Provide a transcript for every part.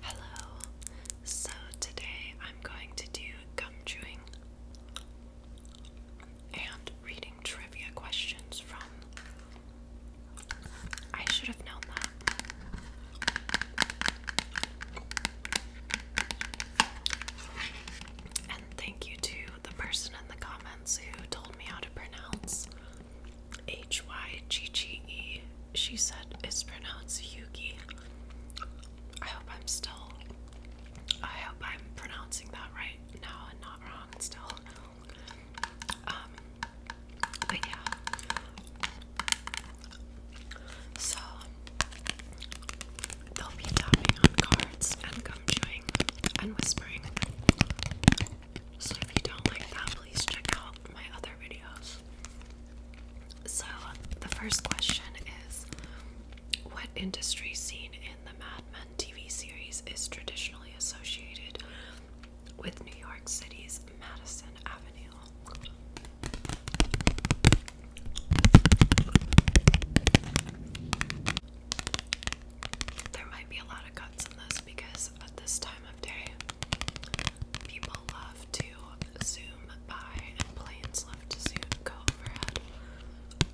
Hello, so today I'm going to do gum chewing and reading trivia questions from. I should have known that. And thank you to the person in the comments who told me how to pronounce H Y G G E. She said it's pronounced Yuki. I hope I'm still. I hope I'm pronouncing that right now and not wrong still. Um, but yeah. So they'll be tapping on cards and gum chewing and whispering. So if you don't like that, please check out my other videos. So the first question is what industry scene in the Mad Men TV series is traditionally associated with New York City's Madison Avenue? There might be a lot of cuts in this because at this time of day, people love to zoom by and planes love to zoom go overhead.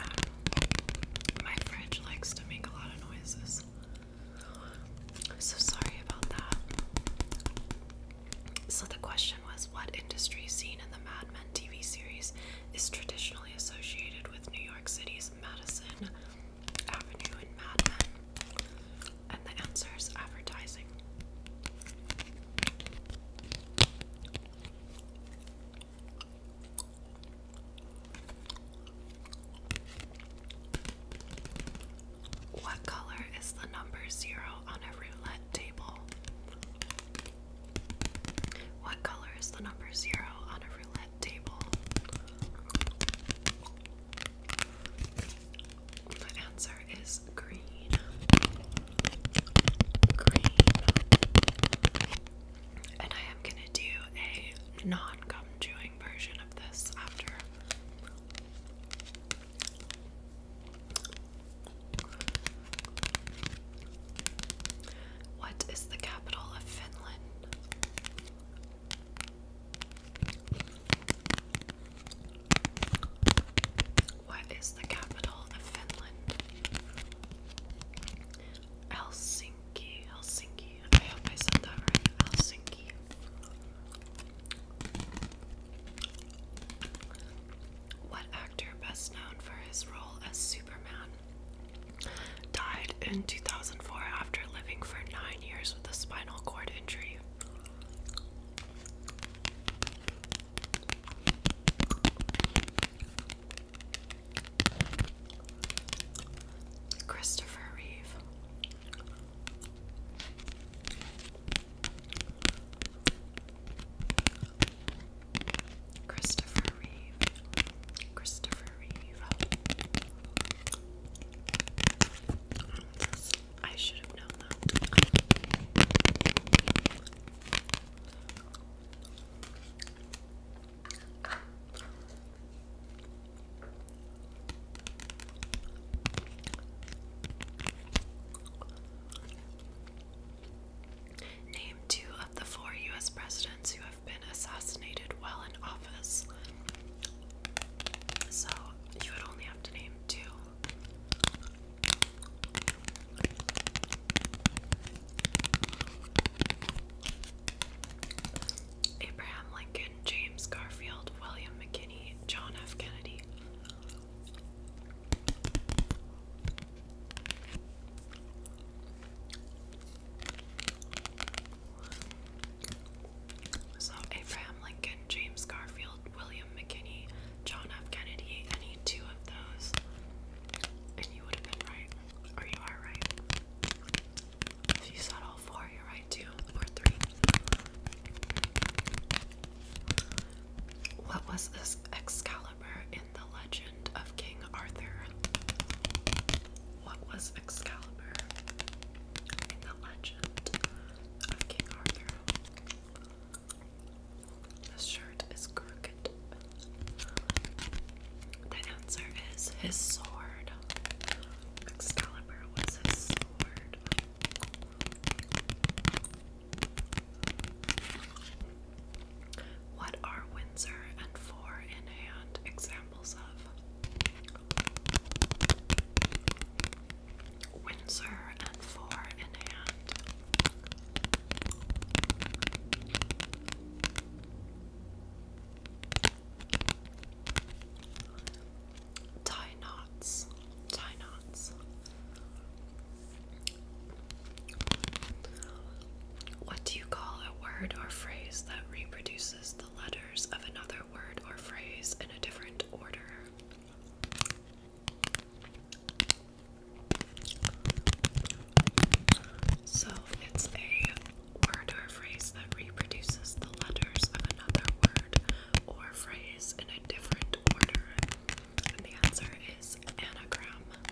Um, my fridge likes to make a lot of noises. So sorry about that. So the question was what industry scene in the Mad Men TV series is traditionally associated with New York City's Madison Avenue in Mad And the answer advertising. What color is the number zero on a roulette table? What color is the number zero on a roulette table? The answer is green. Green. And I am gonna do a non gum chewing version of this after. What is the capital of Finland? What is the capital of Finland? Helsinki, Helsinki. I hope I said that right. Helsinki. What actor best known for his role as Superman? died in 2004 after living for nine years with a spinal cord injury. Christopher Reeve. Christopher Reeve. Christopher I should have known that. Name two of the four US presidents who have been assassinated while in office. So you would only have to name two. Abraham Lincoln, James Garfield, William McKinney, John F. Kennedy. So Abraham Lincoln, James Garfield, William McKinney, John F. Kennedy, any two of those. And you would have been right. Or you are right. If you said all four, you're right too. Or three. What was this Excalibur in the legend? of King Arthur? What was Excalibur? In the legend of King Arthur. This shirt is crooked. The answer is his sword. Excalibur was his sword. What are Windsor and Four in Hand examples of? Windsor and Four in Hand. Tie knots, tie knots. What do you call a word or phrase that reproduces the letters of another word or phrase in a different order? So it's a word or phrase that reproduces the letters of another word or phrase in a different order. And the answer is anagram.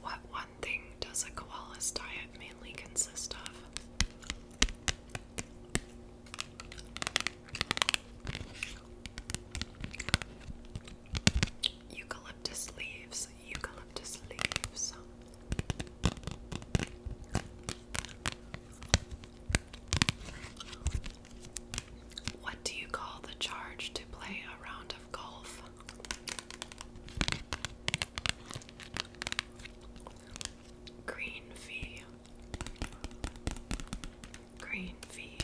What one thing does a koala's diet mainly consist of? Eucalyptus leaves, eucalyptus leaves. What do you call the charge to play a round of golf? Green fee. Green fee.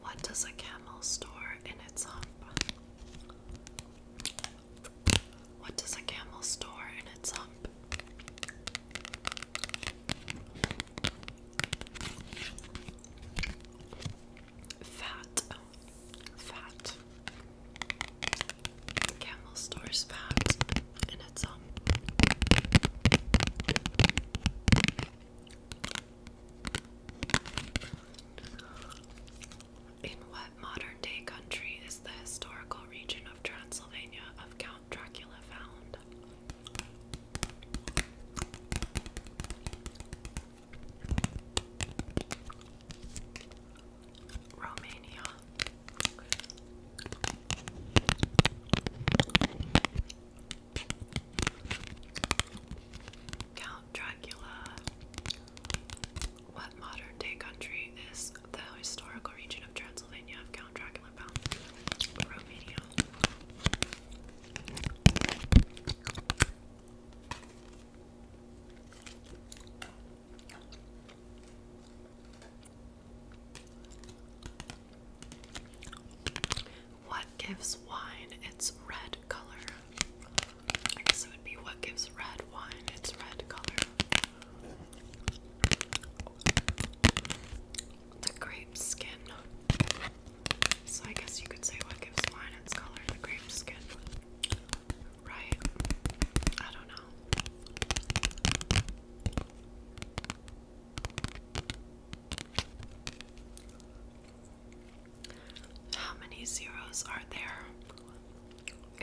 What does a camel store in its hump? What does a camel store in its hump? Fat, fat. Camel stores fat, and it's um. In what modern day country is the historical region of Transylvania of Count Dracula found. Romania. Count Dracula. What modern day country is the historical region of Transylvania Count Dracula Romania. What gives wine its red color? I guess it would be what gives red wine its red color the grape skin. So I guess you could say what gives wine its color, the grape skin. Right? I don't know. How many zeros are there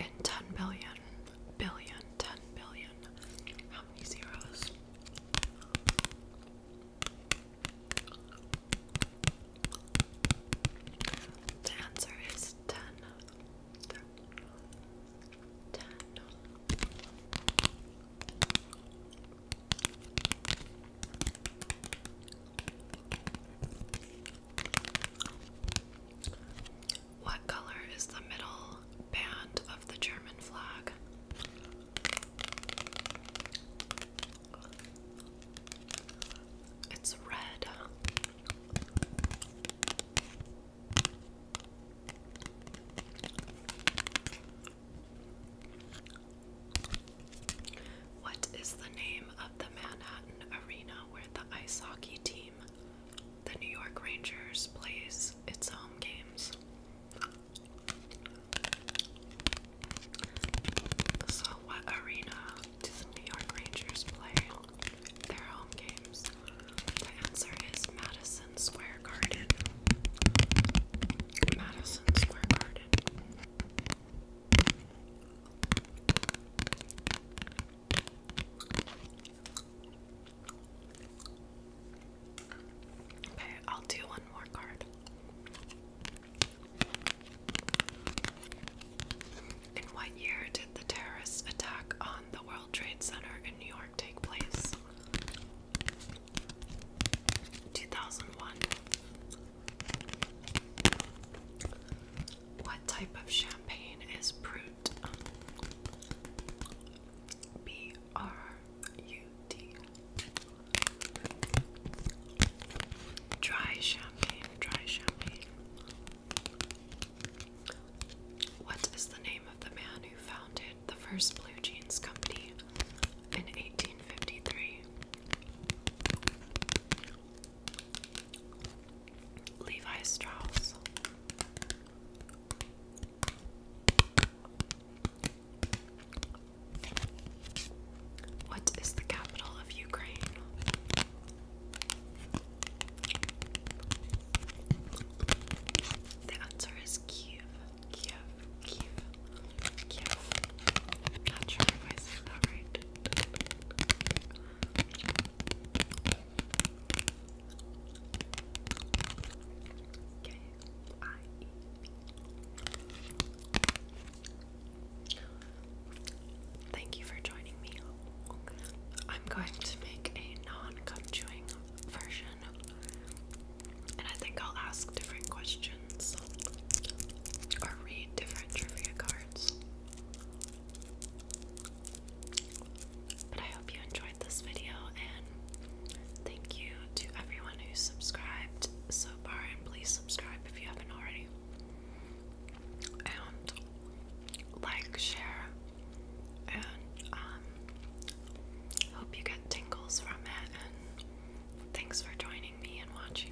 in 10 billion? billion, ten billion. How many zeros? The answer is ten. What color is the middle band of the German flag? It's red. What is the name of the Manhattan arena where the ice hockey team the New York Rangers plays its home games. So, what arena do the New York Rangers play their home games? The answer is Madison Square Garden. Madison Square Garden. Okay, I'll do one more card. In what year did the terrorist attack on the World Trade Center in New York take place? 2001. What type of champagne is Brut Brut. Dry champagne, dry champagne. What is the name of the man who founded the first blue jeans company in 1853? Levi Strauss. What is the capital of Ukraine? The answer is Kiev. Kiev. Kiev. Kiev. Not sure if I said that right. K I E. Thank you for joining me. I'm going to make a non-cum chewing version, and I think I'll ask different questions or read different trivia cards. But I hope you enjoyed this video and thank you to everyone who subscribed so far and please subscribe if you haven't already. And like, share, and um, hope you get tingles from it and thanks for joining me and watching.